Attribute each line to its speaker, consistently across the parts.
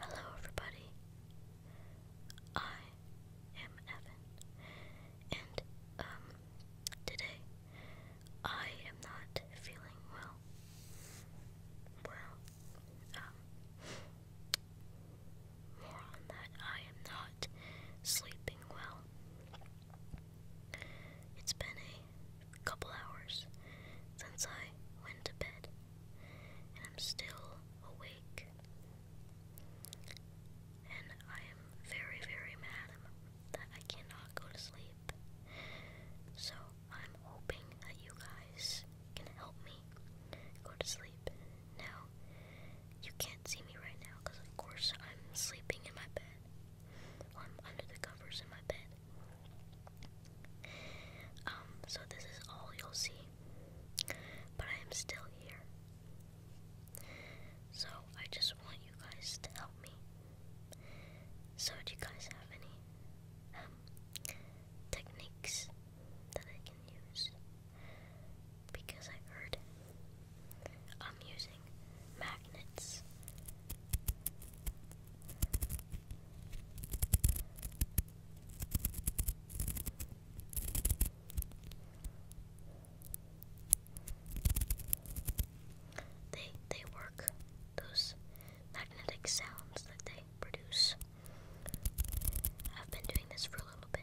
Speaker 1: Hello, everybody. I am Evan, and um, today I am not feeling well. Well, um, more on that. I am not sleeping well. It's been a a couple hours since I went to bed, and I'm still awake. And I am very, very mad that I cannot go to sleep. So I'm hoping that you guys can help me go to sleep. Now, you can't see me right now because, of course, I'm sleeping in my bed. I'm under the covers in my bed. Um, so this is all you'll see, but I am still here. So I just want you guys to help me. So do you guys have any um, techniques that I can use? Because I heard I'm using magnets they they work those magnetic sounds that they produce. I've been doing this for a little bit.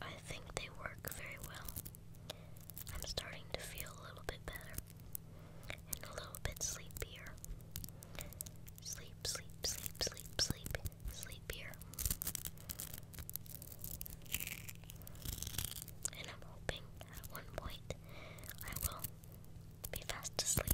Speaker 1: I think they work very well. I'm starting to feel a little bit better and a little bit sleepier. Sleep, sleep, sleep, sleep, sleep, sleepier. And I'm hoping at one point I will be fast asleep.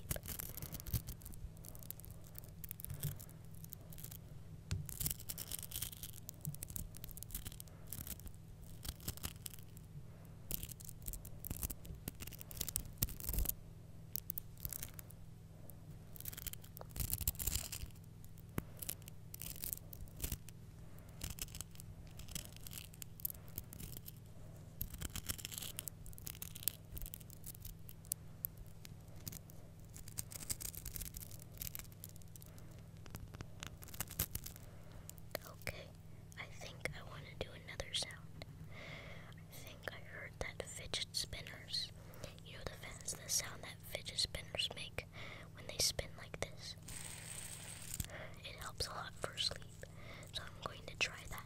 Speaker 1: Okay, I think I want to do another sound. I think I heard that fidget spinners. You know the fast the sound that fidget spinners make when they spin like this. It helps a lot for sleep, so I'm going to try that.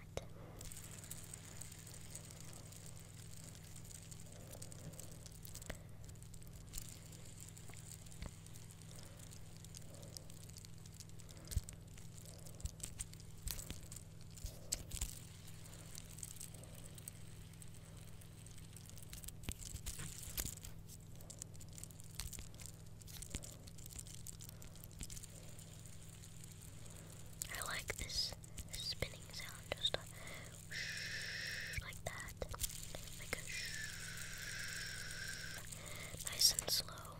Speaker 1: I like this spinning sound, just like that. Like a Nice and slow.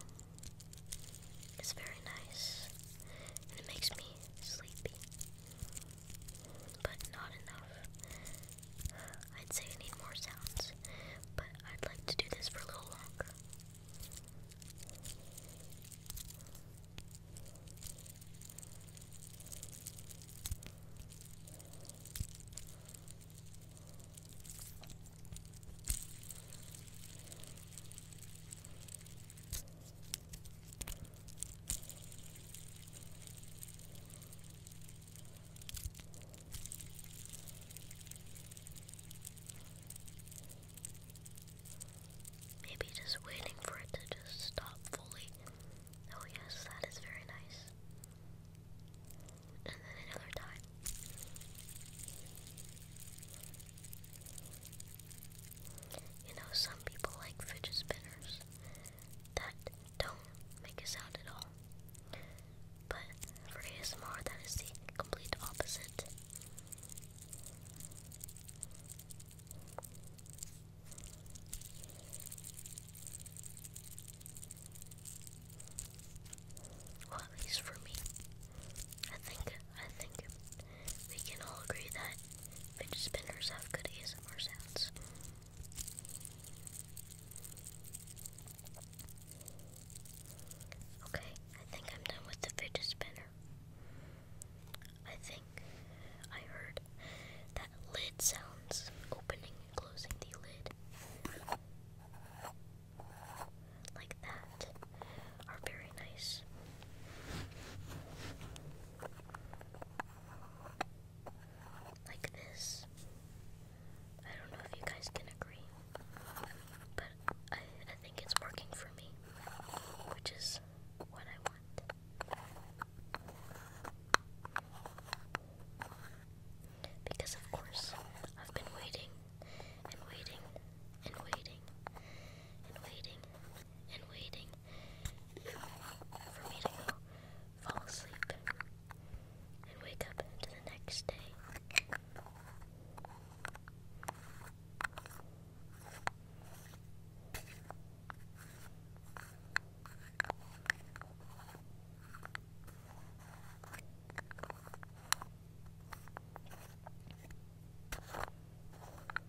Speaker 1: It's very nice. And it makes me sleepy but not enough. I'd say I need more sounds, but I'd like to do this for a little longer. Maybe just waiting for it to just stop fully. Oh, yes, that is very nice. And then another time. You know, some people like fidget spinners that don't make a sound at all. But for ASMR, that is the complete opposite. Well, at least for me. I think I think we can all agree that Fidget spinners have good ASMR sounds. Okay, I think I'm done with the fidget spinner. I think I heard that lid sounds opening and closing the lid. Like that are very nice. Like this. I don't know if you guys can agree, but I, I think it's working for me, which is what I want. Because, of course, I've been waiting and waiting and waiting and waiting and waiting uh, for me to fall asleep and wake up to the next day.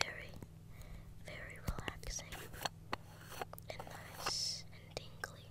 Speaker 1: very, very relaxing and nice and tingly.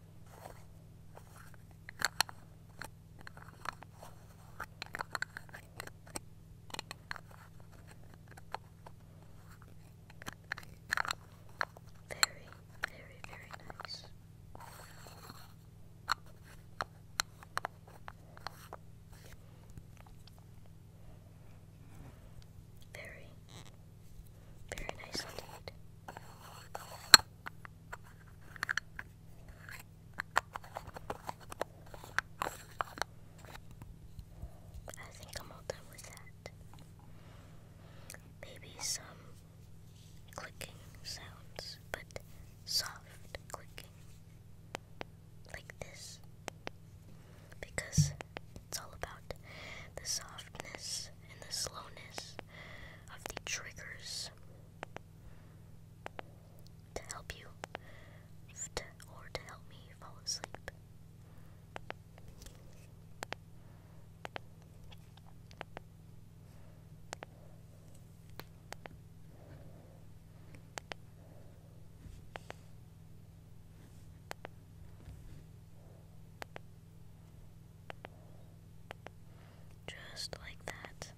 Speaker 1: Very, very, very nice. Very, very nice indeed. I think I'm all done with that. Maybe some clicking sounds, but soft clicking. Like this. Because it's all about the softness and the slowness of the triggers to help you or to help me fall asleep. Just like that.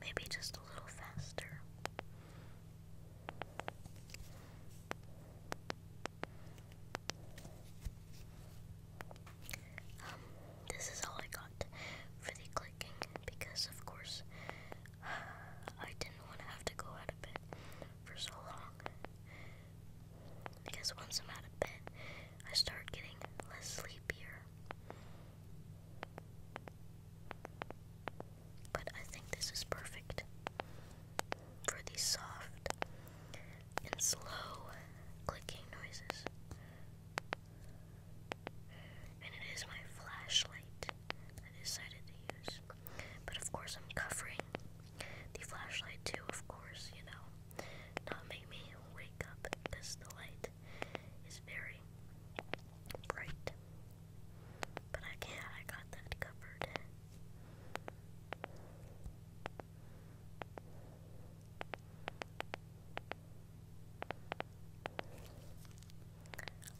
Speaker 1: Maybe just a little faster. Um, this is all I got for the clicking because, of course, I didn't want to have to go out of bed for so long. Because once I'm out of bed, I start getting less sleepier. But I think this is perfect for these soft and slow clicking noises and it is my flashlight I decided to use. But of course, I'm covering the flashlight too, of course, you know, not make me wake up because the light is very bright. But I can't, I got that covered.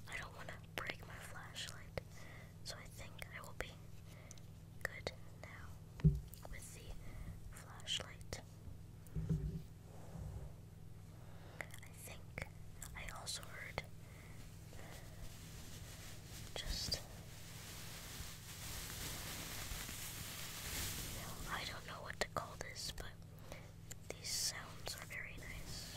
Speaker 1: I don't want to break my flashlight, so I think I will be good now with the flashlight. I think I also heard just. I don't know what to call this, but these sounds are very nice.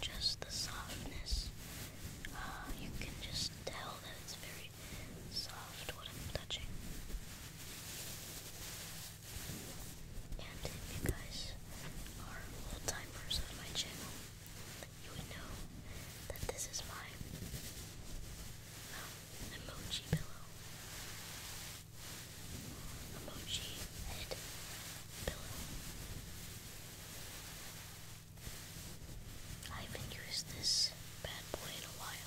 Speaker 1: Just the softness. Ah, you can just tell that it's very soft what I'm touching. And if you guys are old timers on my channel, you would know that this is my um, emoji pillow. Emoji head pillow. I haven't used this bad boy in a while.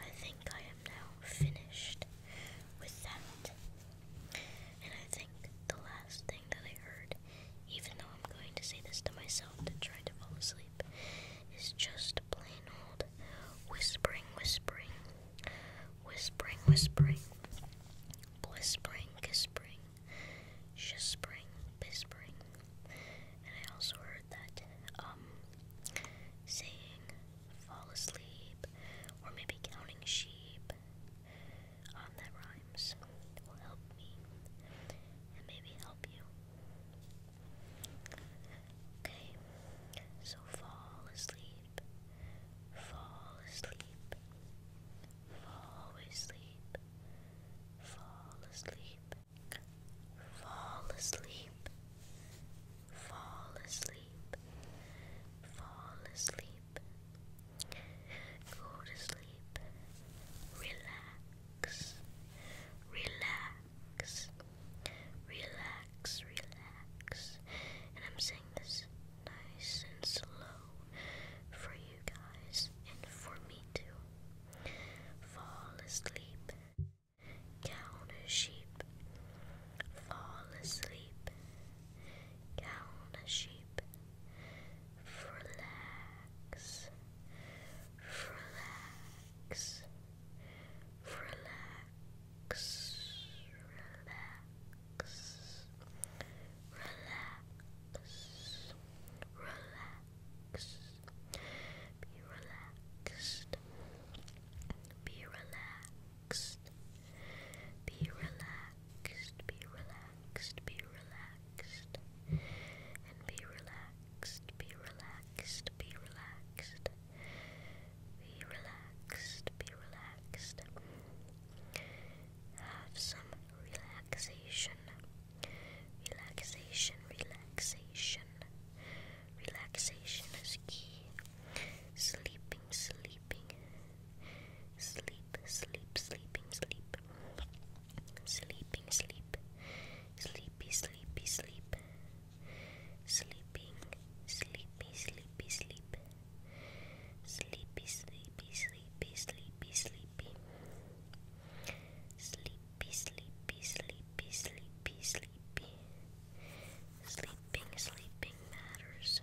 Speaker 1: I think I am now finished with that. And I think the last thing that I heard, even though I'm going to say this to myself to try to fall asleep, is just plain old whispering, whispering, whispering, whispering, whispering, whispering, shispering, whispering. And I also heard that, um, saying fall asleep, or maybe counting sheep um, that rhymes will help me and maybe help you. Okay, so fall asleep, fall asleep, fall asleep, fall asleep, fall asleep, fall asleep, fall asleep. Go to sleep. Relax. Relax. Relax, relax. And I'm saying this nice and slow for you guys and for me too. Fall asleep. Count a sheep. Fall asleep. Count a sheep relax, relax, relax, relax, relax, relax. Be relaxed. Be relaxed. Be relaxed, be relaxed, be relaxed. And be relaxed, be relaxed, be relaxed. Be relaxed, be relaxed. Have some relaxation. Relaxation, relaxation. Relaxation is key. Sleeping, sleeping, Sleep, sleep, sleeping, sleep. Sleeping, sleep. Sleepy, sleepy, sleep. Sleeping, sleepy, sleepy, sleep. Sleepy, sleepy, sleepy, sleepy, sleepy. Sleepy, sleepy, sleepy, sleepy, sleepy. Sleeping, sleeping matters.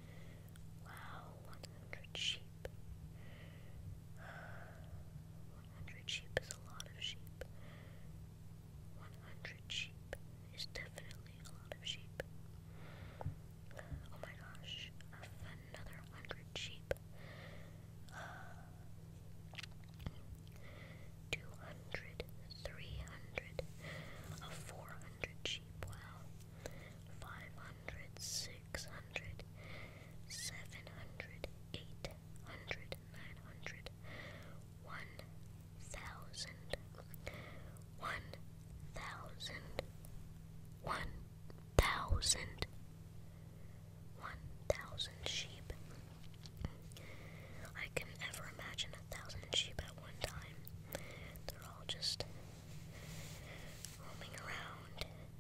Speaker 1: Wow, 100 sheep. Ah, 100 sheep is a lot of sheep. 100 sheep is definitely a lot of sheep. Oh my gosh, another 100 sheep. Uh, ah, 200, 400 sheep, wow. 500, hundred, six hundred, seven hundred, eight hundred, nine hundred, one thousand, one thousand, one thousand, one thousand sheep. I can never imagine a thousand sheep at one time. They're all just roaming around in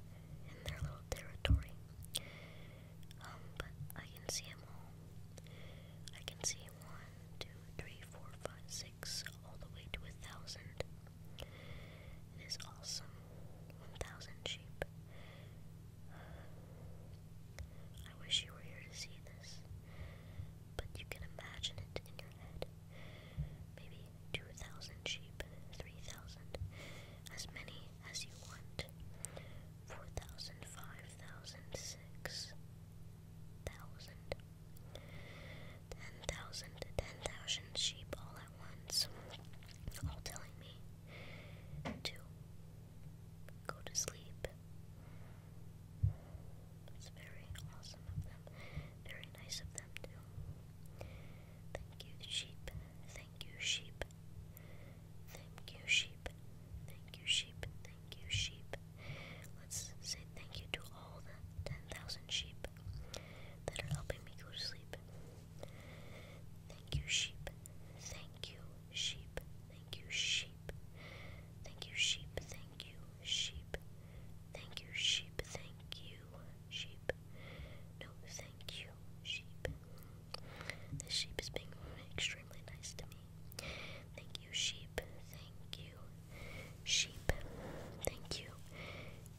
Speaker 1: their little territory. Um, but I can see them all. I can see one, two, three, four, five, six, all the way to a thousand. It is awesome. One thousand sheep. I wish you were here to see this, but you can imagine it in your head maybe 2,000 sheep, 3,000, as many as you want, 4,000, 5,000, 6,000, 10,000, 10,000 sheep all at once, all telling me to go to sleep. It's very awesome of them. Very nice of them, too. Thank you, sheep. Thank you, sheep. Thank you, sheep. Thank you, sheep. Thank you, sheep. Let's say thank you to all the 10,000 sheep that are helping me go to sleep. Thank you, sheep. Thank you, sheep. Thank you, sheep. Thank you, sheep. Thank you, sheep. Thank you, sheep. Thank you, sheep. No, thank you, sheep. This sheep is being extremely nice to me. Thank you, sheep. Thank you, sheep. Thank you,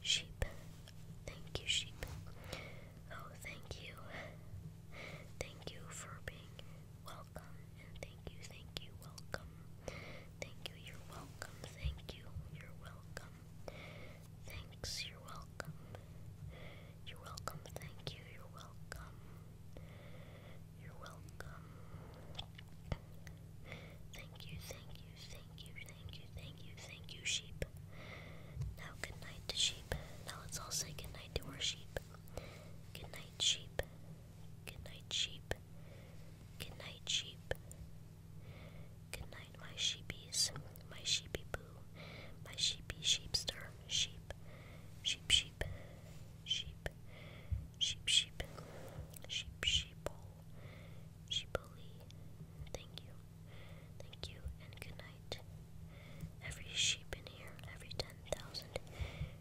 Speaker 1: sheep. Thank you, sheep. Oh, thank you. Thank you for being welcome thank you, thank you, welcome. Thank you, you're welcome. Thank you, you're welcome. Thanks, you're welcome. You're welcome, thank you, you're welcome. You're welcome. Thank you, thank you, thank you, thank you, thank you, thank you, sheep. Now, good night to sheep. Now, let's all say good night to our sheep. Good night, sheep. Good night, sheep. Good night, sheep. Good night, my sheepies, my sheepy boo, my sheepy sheepster, sheep, sheep, sheep, sheep, sheep, sheep, sheep, sheeple, sheepily. Thank you, thank you, and good night. Every sheep in here, every ten thousand